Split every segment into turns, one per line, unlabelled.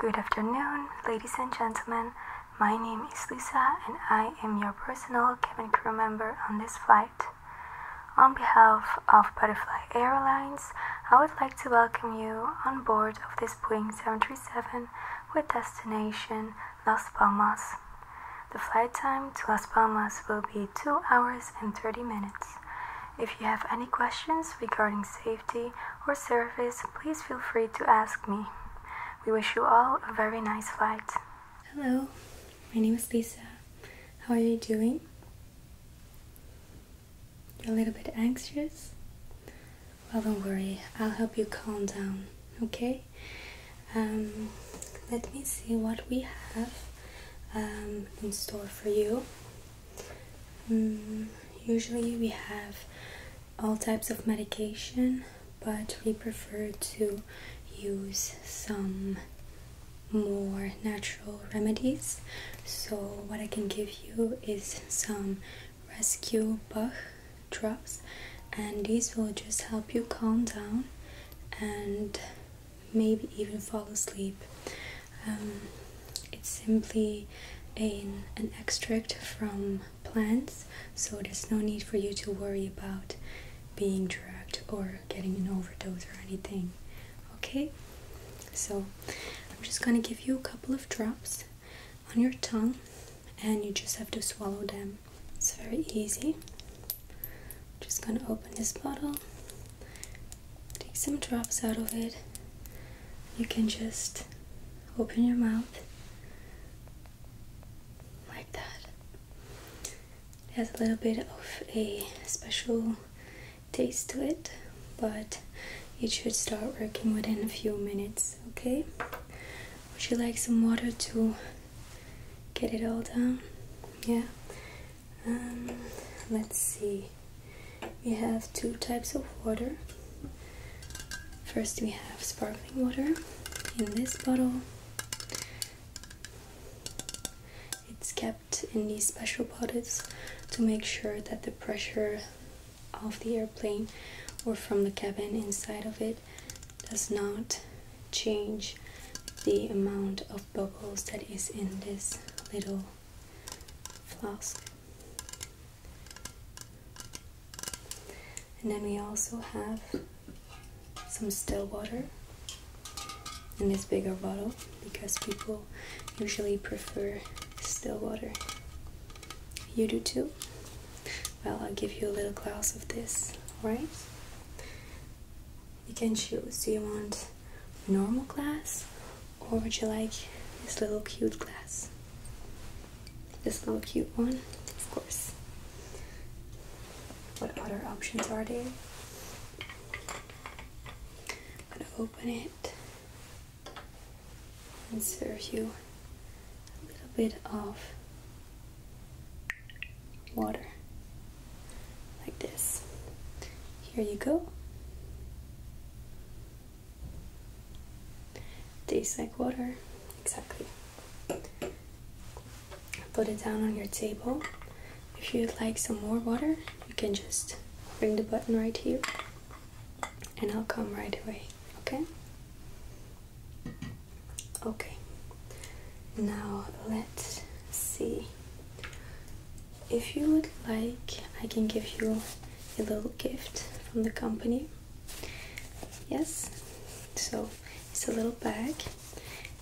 Good afternoon, ladies and gentlemen. My name is Lisa, and I am your personal cabin crew member on this flight. On behalf of Butterfly Airlines, I would like to welcome you on board of this Boeing 737 with destination Las Palmas. The flight time to Las Palmas will be 2 hours and 30 minutes. If you have any questions regarding safety or service, please feel free to ask me. We wish you all a very nice flight. Hello, my name is Lisa. How are you doing? You're a little bit anxious? Well, don't worry, I'll help you calm down, okay? Um, let me see what we have um, in store for you. Mm, usually we have all types of medication, but we prefer to use some more natural remedies. So, what I can give you is some rescue Bach drops, and these will just help you calm down and maybe even fall asleep. Um, it's simply an, an extract from plants, so there's no need for you to worry about being drugged or getting an overdose or anything. Okay, so I'm just gonna give you a couple of drops on your tongue, and you just have to swallow them. It's very easy. just gonna open this bottle Take some drops out of it. You can just open your mouth like that. It has a little bit of a special taste to it, but it should start working within a few minutes, okay? Would you like some water to get it all down? Yeah, um, let's see. We have two types of water. First, we have sparkling water in this bottle. It's kept in these special bottles to make sure that the pressure of the airplane or from the cabin inside of it does not change the amount of bubbles that is in this little flask. And then we also have some still water in this bigger bottle because people usually prefer still water. You do too? Well, I'll give you a little glass of this, alright? you can choose. Do you want normal glass or would you like this little cute glass? This little cute one, of course. What other options are there? I'm gonna open it and serve you a little bit of water like this. Here you go. Tastes like water, exactly. Put it down on your table. If you'd like some more water, you can just bring the button right here and I'll come right away, okay? Okay, now let's see if you would like, I can give you a little gift from the company. Yes, so it's a little bag,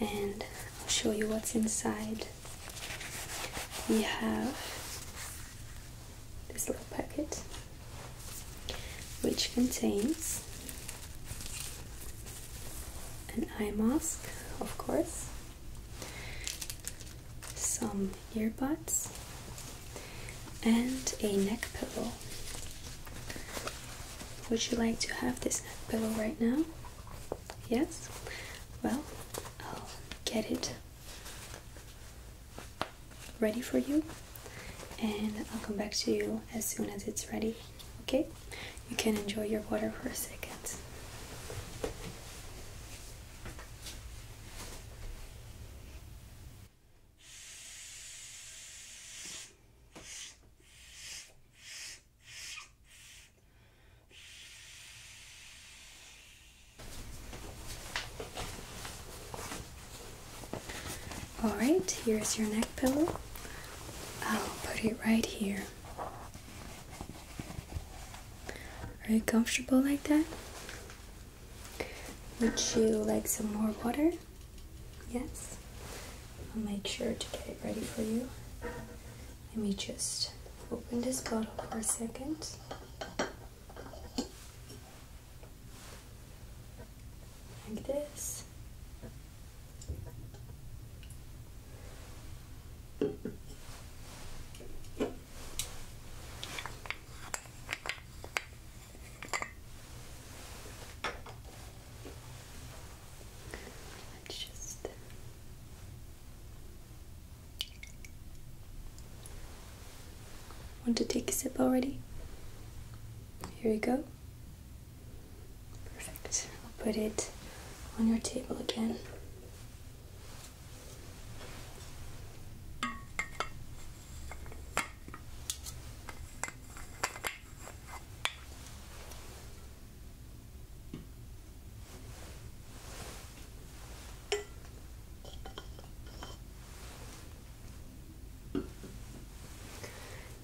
and I'll show you what's inside. We have this little packet which contains an eye mask, of course some earbuds, and a neck pillow. Would you like to have this neck pillow right now? Yes? Well, I'll get it ready for you and I'll come back to you as soon as it's ready. Okay? you can enjoy your water for a second. Alright, here's your neck pillow. I'll put it right here are you comfortable like that? Would you like some more water? Yes? I'll make sure to get it ready for you. Let me just open this bottle for a second. Like this. Let's just want to take a sip already. Here we go. Perfect. I'll put it on your table again.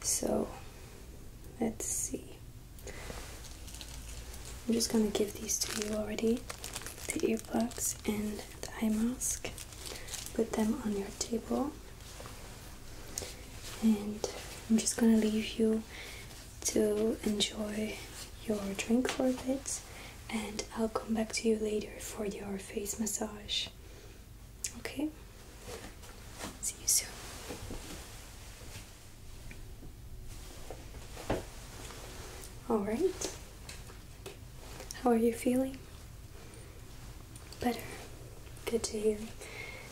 So let's see. I'm just going to give these to you already the earplugs and the eye mask. Put them on your table. And I'm just going to leave you to enjoy your drink for a bit. And I'll come back to you later for your face massage. Okay? See you soon. All right. How are you feeling? Better. Good to hear.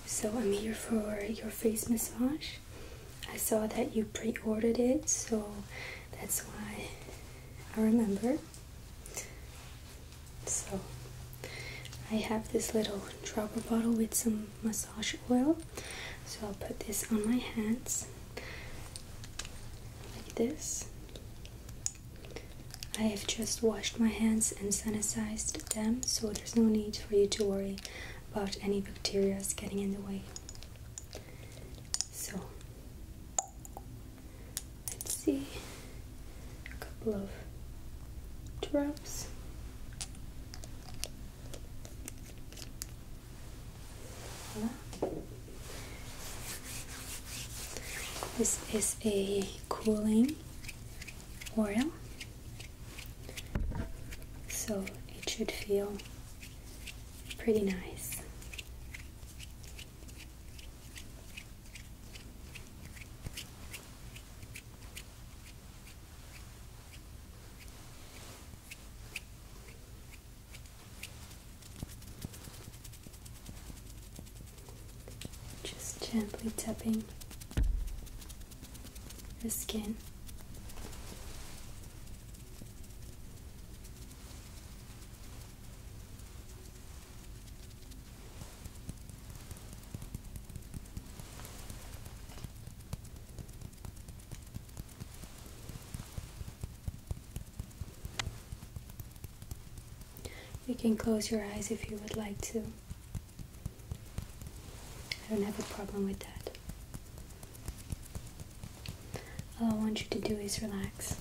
So I'm here for your face massage. I saw that you pre-ordered it, so that's why I remember. So I have this little dropper bottle with some oil. So I'll put this on my hands like this. I have just washed my hands and sanitized them, so there's no need for you to worry about any bacteria getting in the way. So let's see a couple of drops. This is a cooling oil, so it should feel pretty nice. Just gently tapping the skin. You can close your eyes if you would like to. I don't have a problem with that. All I want you to do is relax.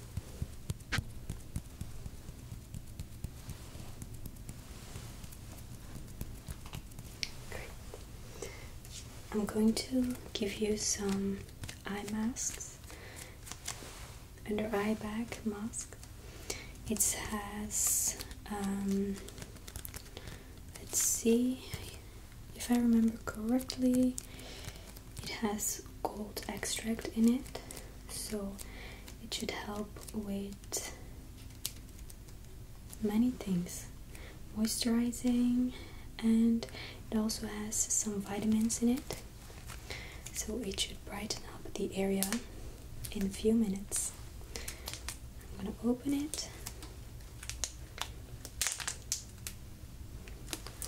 I'm going to give you some eye masks, under eye bag mask. It has, um, let's see if I remember correctly, it has gold extract in it, so it should help with many things moisturizing and it also has some vitamins in it so it should brighten up the area in a few minutes I'm gonna open it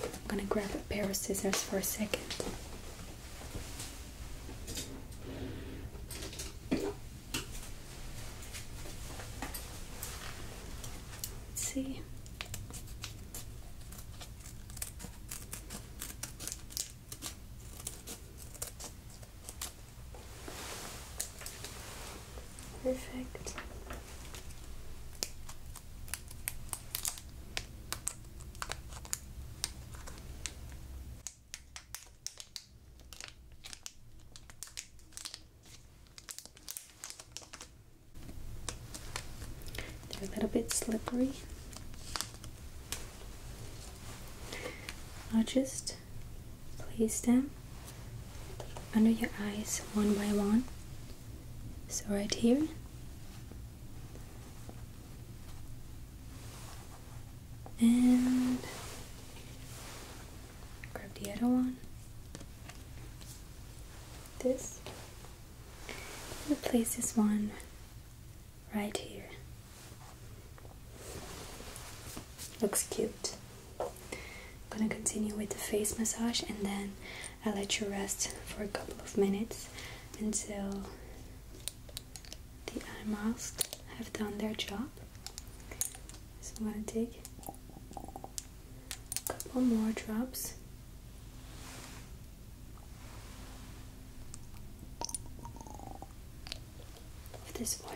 I'm gonna grab a pair of scissors for a second Let's see. Perfect. They're a little bit slippery. I'll just place them under your eyes one by one. So, right here, and grab the other one. This. And place this one right here. Looks cute. I'm gonna continue with the face massage and then I'll let you rest for a couple of minutes until the eye masks have done their job. So I'm going to take a couple more drops. Of this oil.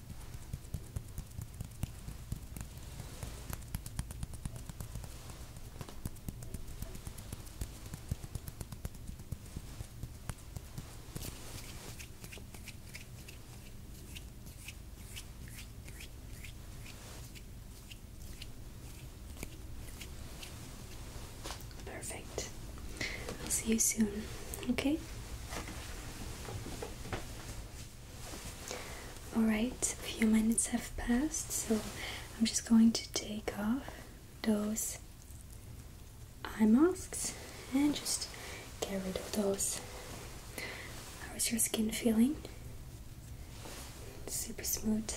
Perfect. I'll see you soon, okay? Alright, a few minutes have passed, so I'm just going to take off those eye masks and just get rid of those. How is your skin feeling? Super smooth.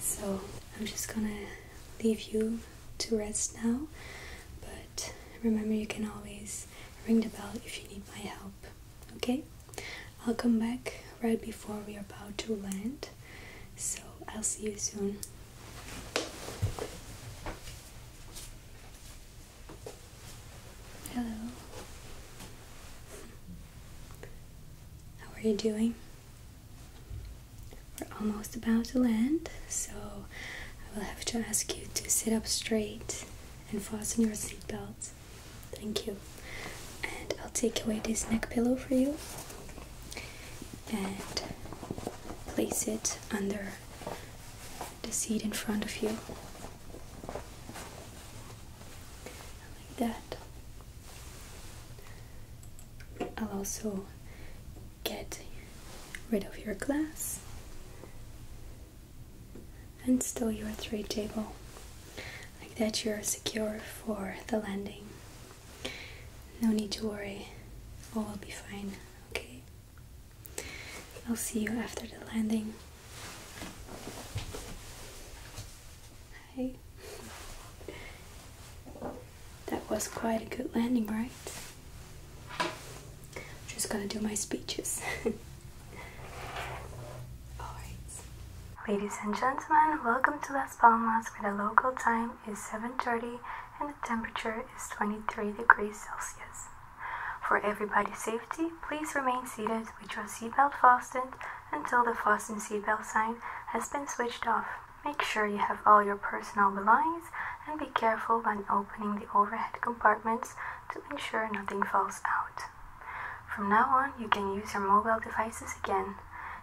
So I'm just gonna leave you to rest now. But remember, you can always ring the bell if you need my help. Okay? I'll come back right before we are about to land. So I'll see you soon. Hello. How are you doing? We're almost about to land, so I will have to ask you to sit up straight and fasten your seatbelt. Thank you. And I'll take away this neck pillow for you and place it under the seat in front of you. Like that. I'll also get rid of your glass and stow your three table. Like that, you're secure for the landing. No need to worry, all will be fine, okay? I'll see you after the landing. Hi. That was quite a good landing, right? I'm just gonna do my speeches. Ladies and gentlemen, welcome to Las Palmas where the local time is 7.30 and the temperature is 23 degrees Celsius. For everybody's safety, please remain seated with your seatbelt fastened until the fasten seatbelt sign has been switched off. Make sure you have all your personal belongings and be careful when opening the overhead compartments to ensure nothing falls out. From now on, you can use your mobile devices again.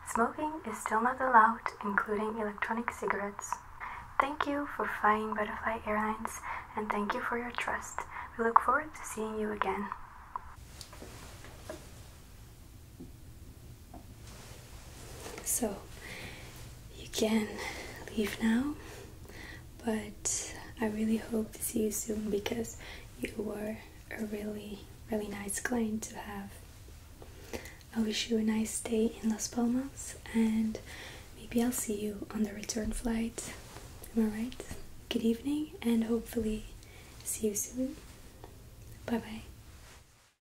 Smoking is still not allowed, including electronic cigarettes. Thank you for flying Butterfly Airlines and thank you for your trust. We look forward to seeing you again. So you can leave now, but I really hope to see you soon because you were a really, really nice client to have. I wish you a nice day in Las Palmas and maybe I'll see you on the return flight. Am I right? Good evening and hopefully see you soon. Bye bye.